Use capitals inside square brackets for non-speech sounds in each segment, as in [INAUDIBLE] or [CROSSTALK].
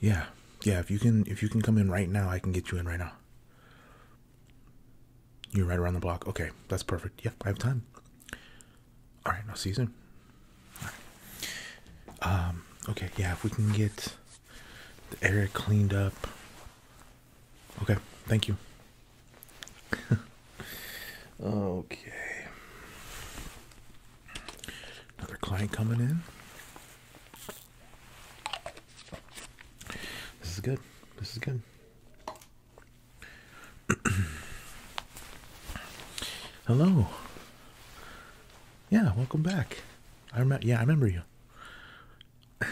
Yeah. Yeah, if you can if you can come in right now, I can get you in right now. You're right around the block. Okay, that's perfect. Yeah, I have time. All right, I'll see you soon. Um, okay, yeah, if we can get the area cleaned up. Okay, thank you. [LAUGHS] okay. Another client coming in. This is good. This is good. [CLEARS THROAT] Hello. Yeah, welcome back. I remember. Yeah, I remember you. [LAUGHS]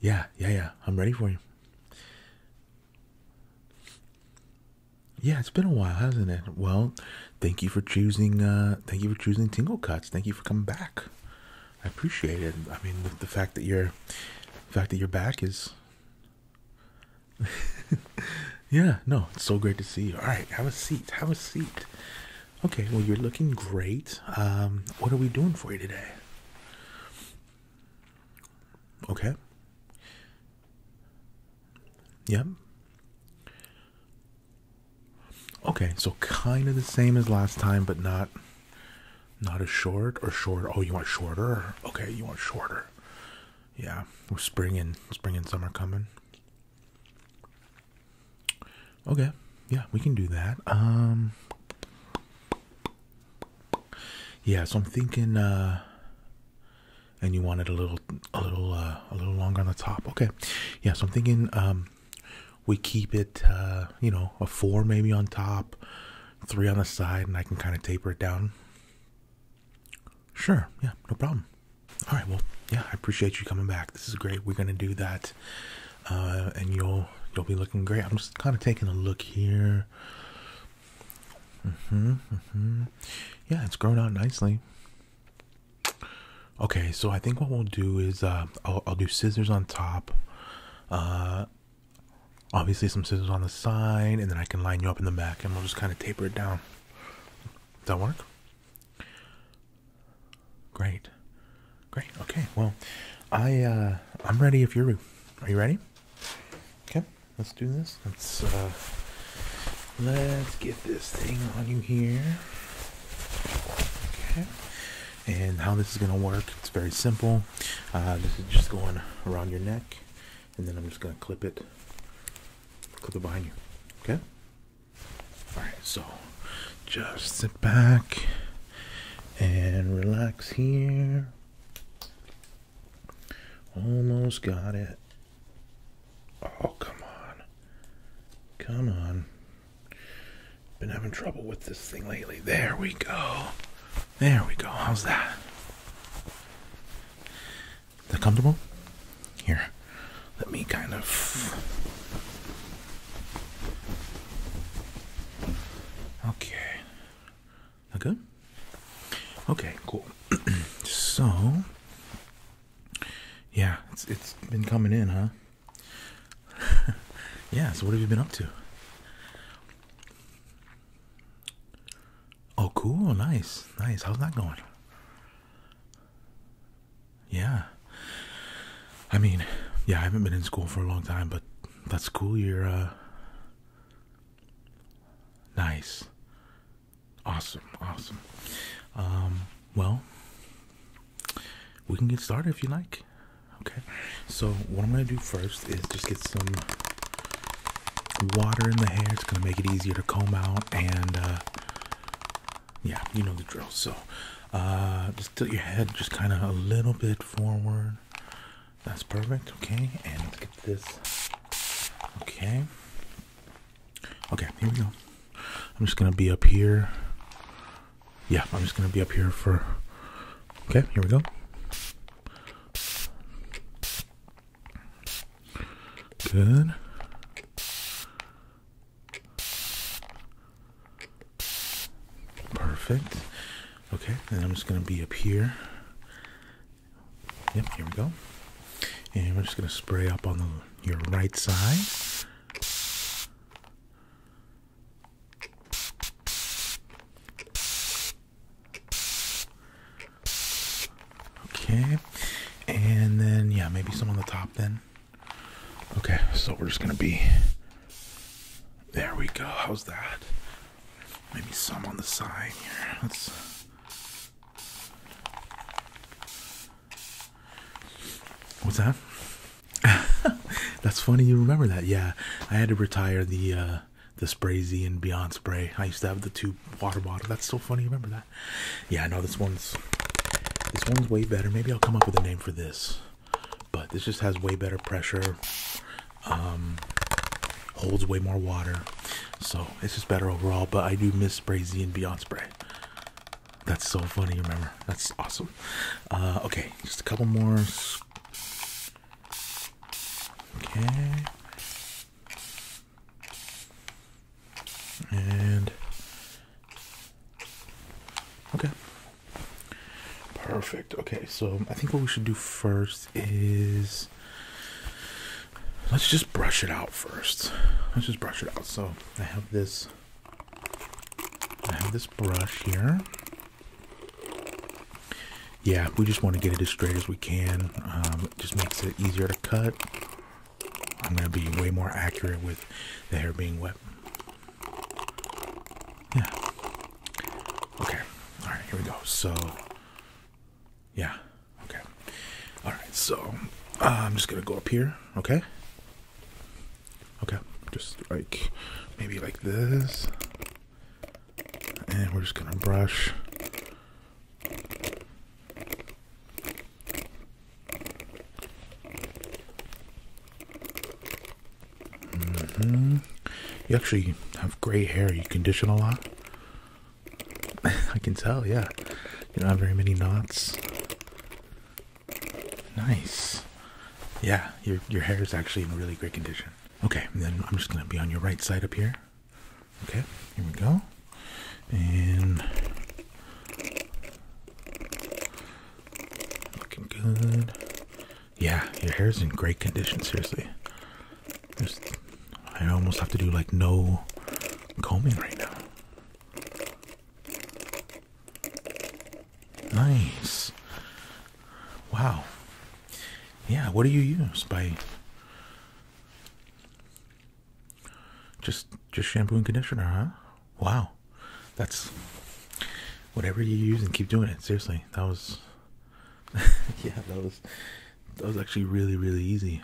yeah, yeah, yeah. I'm ready for you. Yeah, it's been a while, hasn't it? Well, thank you for choosing uh thank you for choosing tingle cuts thank you for coming back i appreciate it i mean the, fact that you're the fact that you're back is [LAUGHS] yeah no it's so great to see you all right have a seat have a seat okay well you're looking great um what are we doing for you today okay yep Okay, so kind of the same as last time, but not not as short or short. Oh, you want shorter? Okay, you want shorter. Yeah, we're spring and spring and summer coming. Okay, yeah, we can do that. Um Yeah, so I'm thinking uh and you wanted a little a little uh, a little longer on the top. Okay, yeah. So I'm thinking um, we keep it, uh, you know, a four maybe on top, three on the side, and I can kind of taper it down. Sure. Yeah. No problem. All right. Well, yeah. I appreciate you coming back. This is great. We're gonna do that, uh, and you'll you'll be looking great. I'm just kind of taking a look here. Mm-hmm. Mm-hmm. Yeah, it's grown out nicely. Okay, so I think what we'll do is uh, I'll, do scissors on top, uh, obviously some scissors on the side, and then I can line you up in the back, and we'll just kind of taper it down. Does that work? Great, great. Okay, well, I uh, I'm ready. If you're, are you ready? Okay, let's do this. Let's Let's get this thing on you here. Okay. And how this is going to work, it's very simple. Uh, this is just going around your neck, and then I'm just going to clip it, clip it behind you. Okay? Alright, so just sit back and relax here. Almost got it. Oh, come on. Come on. Been having trouble with this thing lately. There we go. There we go. How's that? Is that comfortable? Here, let me kind of. Okay. good? Okay, cool. [CLEARS THROAT] so, yeah, it's it's been coming in, huh? [LAUGHS] yeah. So what have you been up to? Oh, cool. Nice, nice. How's that going? Yeah. I mean, yeah. I haven't been in school for a long time, but that's cool. You're uh. Nice. Awesome, awesome. Um, well, we can get started if you like. Okay, so what I'm gonna do first is just get some water in the hair. It's gonna make it easier to comb out, and uh, yeah, you know the drill. So uh, just tilt your head just kind of a little bit forward. That's perfect. Okay, and let's get this. Okay, Okay, here we go. I'm just gonna be up here. Yeah, I'm just gonna be up here for. Okay, here we go. Good. Perfect. Okay, and I'm just gonna be up here. Yep, here we go. And we're just gonna spray up on your right side. Okay, and then yeah, maybe some on the top then. Okay, so we're just gonna be there. We go. How's that? Maybe some on the side here. Let's What's that? [LAUGHS] That's funny you remember that. Yeah, I had to retire the uh the Spray Z and Beyond Spray. I used to have the two water bottle. That's so funny you remember that. Yeah, I know this one's this one's way better. Maybe I'll come up with a name for this. But this just has way better pressure. Um holds way more water. So it's just better overall. But I do miss Spray Z and Beyond Spray. That's so funny, remember? That's awesome. Uh, okay, just a couple more. Okay. And okay. Perfect. Okay, so I think what we should do first is let's just brush it out first. Let's just brush it out. So I have this I have this brush here. Yeah, we just want to get it as straight as we can. Um, it just makes it easier to cut. I'm going to be way more accurate with the hair being wet. Yeah. Okay. All right, here we go. So, yeah. Okay. All right, so uh, I'm just going to go up here, okay? Okay, just like maybe like this. And we're just gonna brush. Mm-hmm. You actually have gray hair. You condition a lot. [LAUGHS] I can tell, yeah. You don't have very many knots. Nice. Yeah, your your hair is actually in really great condition. Okay, then I'm just gonna be on your right side up here. Okay, here we go. And looking good. Yeah, your hair is in great condition, seriously. I almost have to do like no combing right now. Nice. Wow. Yeah, what do you use by just just shampoo and conditioner, huh? Wow. That's whatever you use and keep doing it. Seriously. That was [LAUGHS] yeah, that was that was actually really, really easy.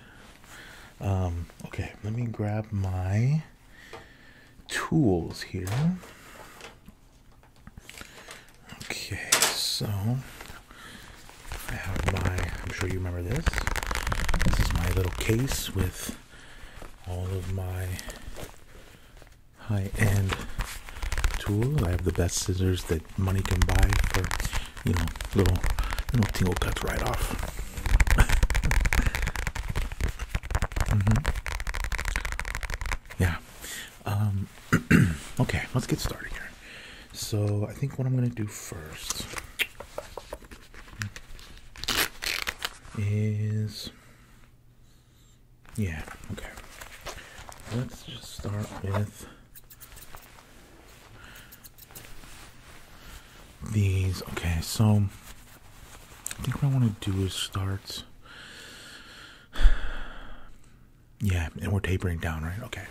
Um, okay, let me grab my tools here. Okay, so I have my, I'm sure you remember this. This is my little case with all of my high end tools. I have the best scissors that money can buy for, you know, little, little tingle cuts right off. [LAUGHS] Mm -hmm. Yeah. Um, [CLEARS THROAT] okay, let's get started here. So, I think what I'm going to do first is. Yeah, okay. Let's just start with these. Okay, so I think what I want to do is start. Yeah, and we're tapering down, right? Okay.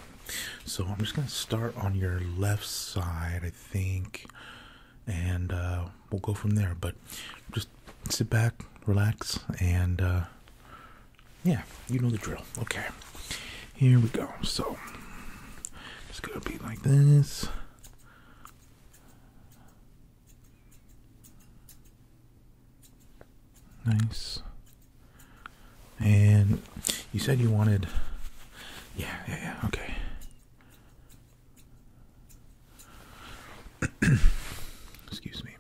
So I'm just going to start on your left side, I think, and uh, we'll go from there. But just sit back, relax, and uh, yeah, you know the drill. Okay. Here we go. So it's going to be like this. Nice. And you said you wanted. Yeah, yeah, yeah, okay. [CLEARS THROAT] Excuse me.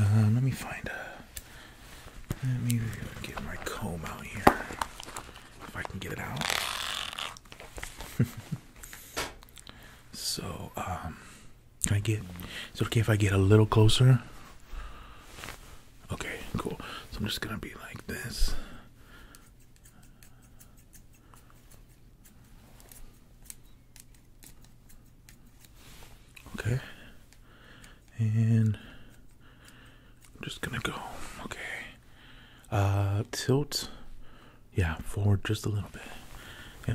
Uh, let me find a. Let me get my comb out here. If I can get it out. [LAUGHS] so, um, can I get? It's okay if I get a little closer. Okay, cool. So I'm just gonna be like this. Okay, and I'm just gonna go, okay. Uh, tilt, yeah, forward just a little bit. Yeah.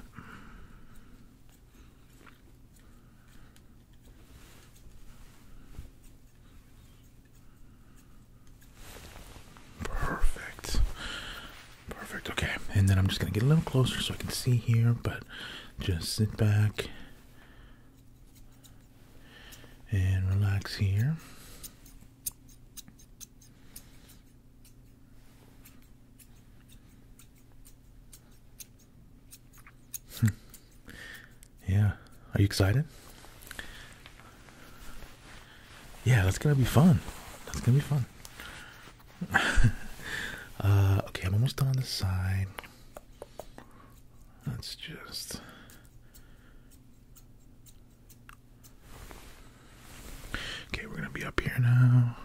Perfect. Perfect. Okay. And then I'm just going to get a little closer so I can see here, but just sit back and relax here. Hmm. yeah. Are you excited? Yeah, that's gonna be fun. That's gonna be fun. [LAUGHS] Uh, okay, I'm almost done on the side. Let's just Okay, we're gonna be up here now.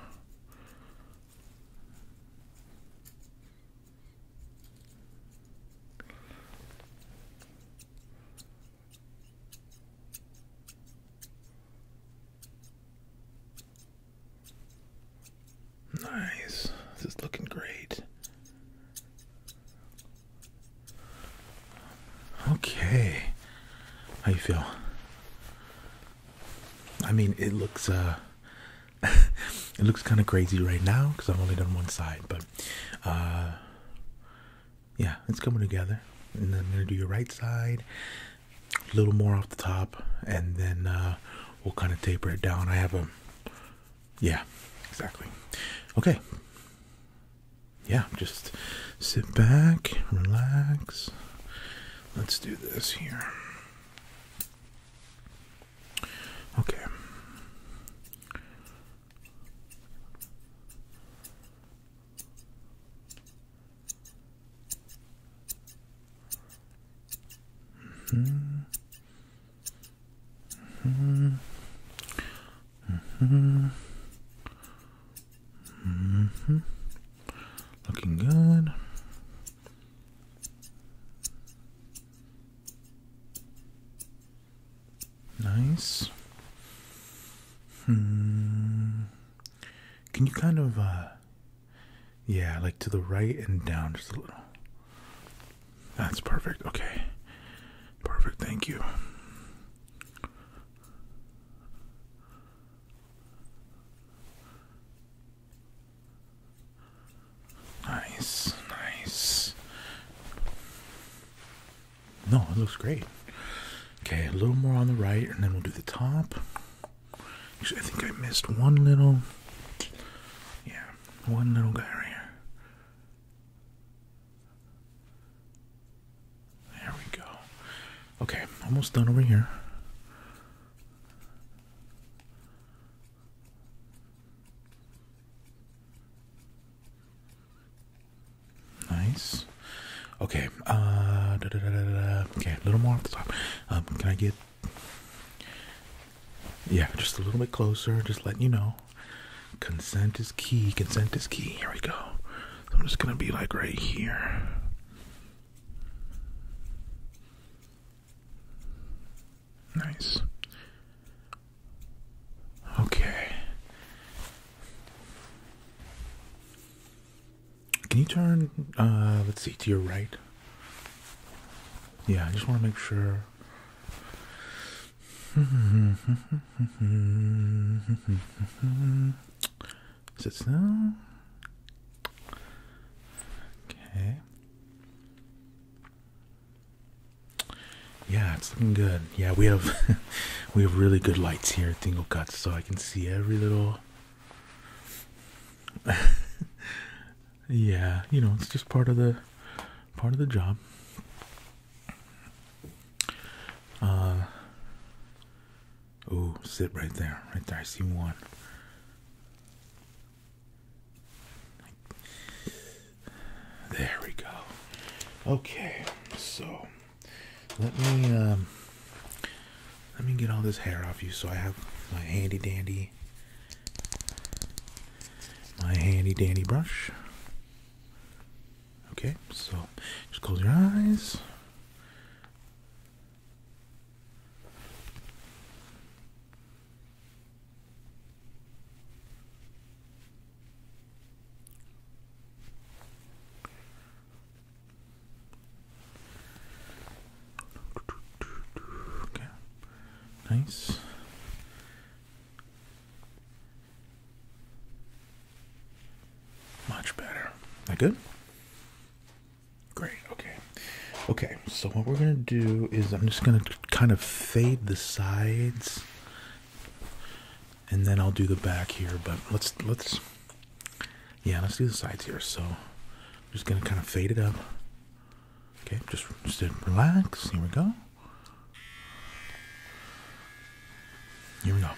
Nice. This is looking great. Okay. How you feel? I mean, it looks uh [LAUGHS] it looks kind of crazy right now cuz I've only done one side, but uh yeah, it's coming together. And then I'm going to do your right side a little more off the top and then uh we'll kind of taper it down. I have a yeah, exactly. Okay. Yeah, just sit back, relax. Let's do this here. Okay. -hmm. Mm-hmm. Mm-hmm. Mm-hmm. Looking good. Nice. Hmm. Can you kind of, uh, yeah, like to the right and down just a little? That's perfect. Okay. Perfect, thank you. Nice, nice. No, it looks great. Okay, a little more on the right, and then we'll do the top. Actually, I think I missed one little. Yeah, one little guy here. There we go. Okay, almost done over here. Nice. Okay. Uh, okay, a little more off the top. Um, can I get? Yeah, just a little bit closer. Just letting you know. Consent is key. Consent is key. Here we go. I'm just gonna be like right here. Nice. Okay. Can you turn, uh, let's see, to your right? Yeah, I just want to make sure is it snow? Okay. Yeah, it's looking good. Yeah, we have [LAUGHS] we have really good lights here at Dingle Cuts, so I can see every little. [LAUGHS] yeah, you know, it's just part of the part of the job. Uh, oh, sit right there. Right there. I see one. There we go. Okay, so let me um, let me get all this hair off you. So I have my handy dandy, my handy dandy brush. Okay, so just close your eyes. Nice. Much better. That good? Great. Okay. Okay. So what we're gonna do is I'm just gonna kind of fade the sides, and then I'll do the back here. But let's let's yeah let's do the sides here. So I'm just gonna kind of fade it up. Okay. Just just relax. Here we go. You we go.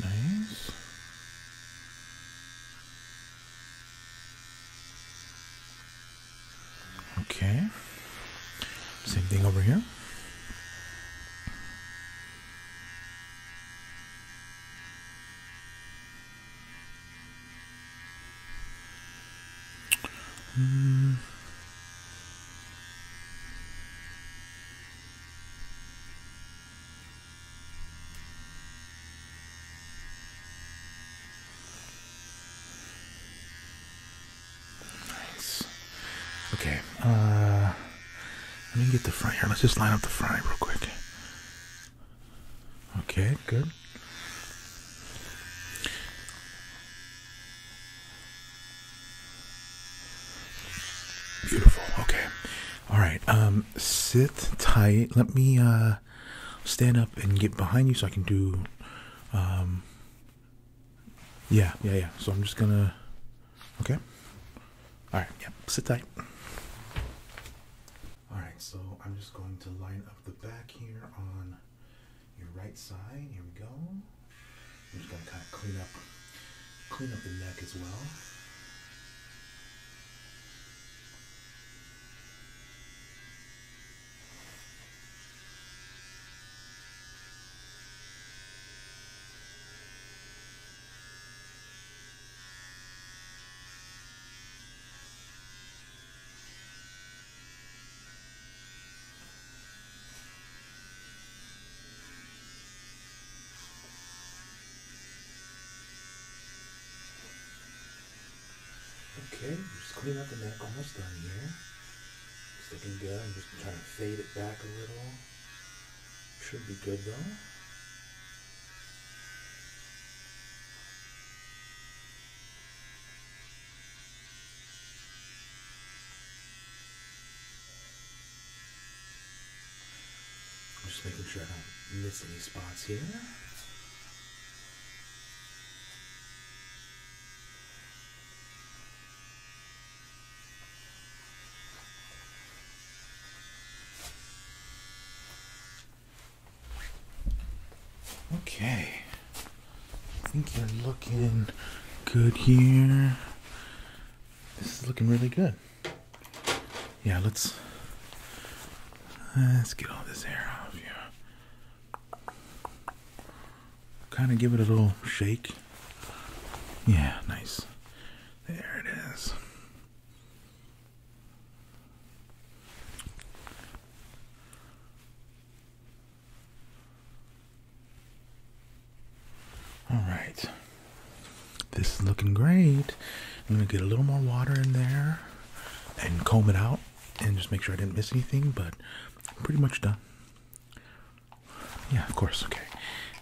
Nice. Okay. Same thing over here. Nice. Okay, uh, let me get the front here. Let's just line up the front real quick. Okay, good. Beautiful. Okay. All right. Um, sit tight. Let me uh, stand up and get behind you so I can do um, yeah, yeah, yeah. So I'm just gonna. Okay. All right. Yeah, sit tight. All right. So I'm just going to line up the back here on your right side. Here we go. I'm just gonna kind of clean up, clean up the neck as well. Okay, just clean up the neck, almost done here. It's looking good. I'm just trying to fade it back a little. Should be good though. I'm just making sure I don't miss any spots here. Okay. I think you're looking good here. This is looking really good. Yeah, let's let's get all this hair off you kind of give it a little shake. Yeah, nice. There it is. All right. This is looking great. I'm going to get a little more water in there and comb it out and just make sure I didn't miss anything, but pretty much done. Yeah, of course. Okay.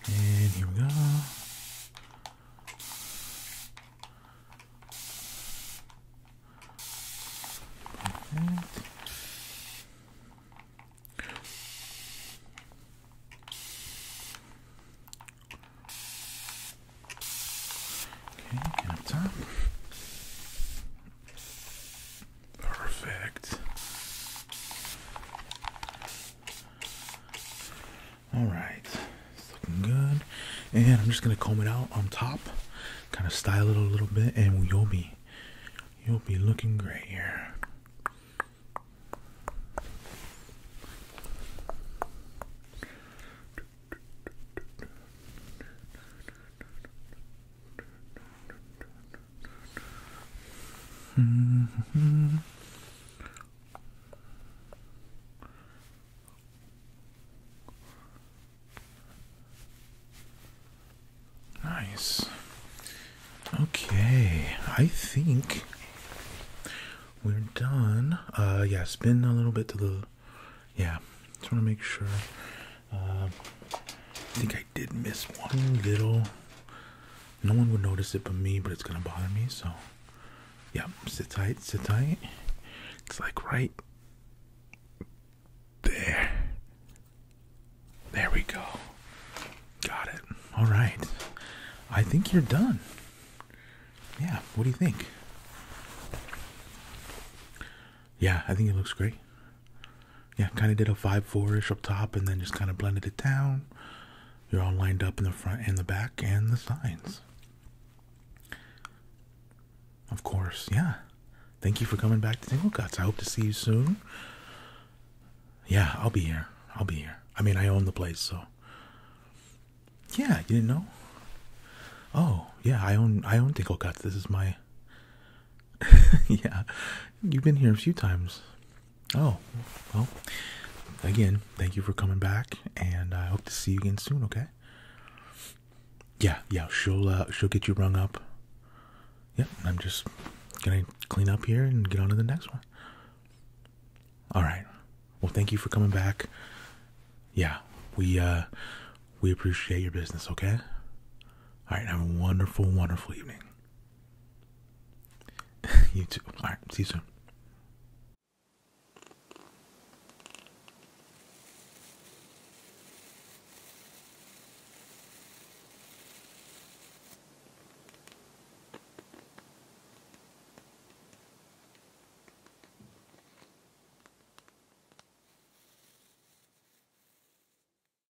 And here we go. Okay, and Perfect. Alright, it's looking good. And I'm just gonna comb it out on top, kind of style it a little bit, and you'll be you'll be looking great here. -hmm. Nice. Okay, I think we're done. Uh, yeah, spin a little bit to the. Yeah, just want to make sure uh, I think I did miss one little. No one would notice it but me, but it's gonna bother me. So, yep, sit tight, sit tight. It's like right there. There we go. Got it. All right. I think you're done. Yeah. What do you think? Yeah, I think it looks great. Yeah, kind of did a 5-4 ish up top and then just kind of blended it down. You're all lined up in the front and the back and the sides. Of course, yeah. Thank you for coming back to Tingle I hope to see you soon. Yeah, I'll be here. I'll be here. I mean, I own the place, so. Yeah, you didn't know? Oh, yeah, I own I own Tingle This is my [LAUGHS] yeah, you've been here a few times. Oh, well, again, thank you for coming back, and I hope to see you again soon. Okay. Yeah, yeah, she'll uh, she'll get you rung up. Yep, I'm just gonna clean up here and get on to the next one. All right. Well, thank you for coming back. Yeah, we uh, we appreciate your business. Okay. All right. Have a wonderful, wonderful evening. [LAUGHS] you too. All right. See you soon.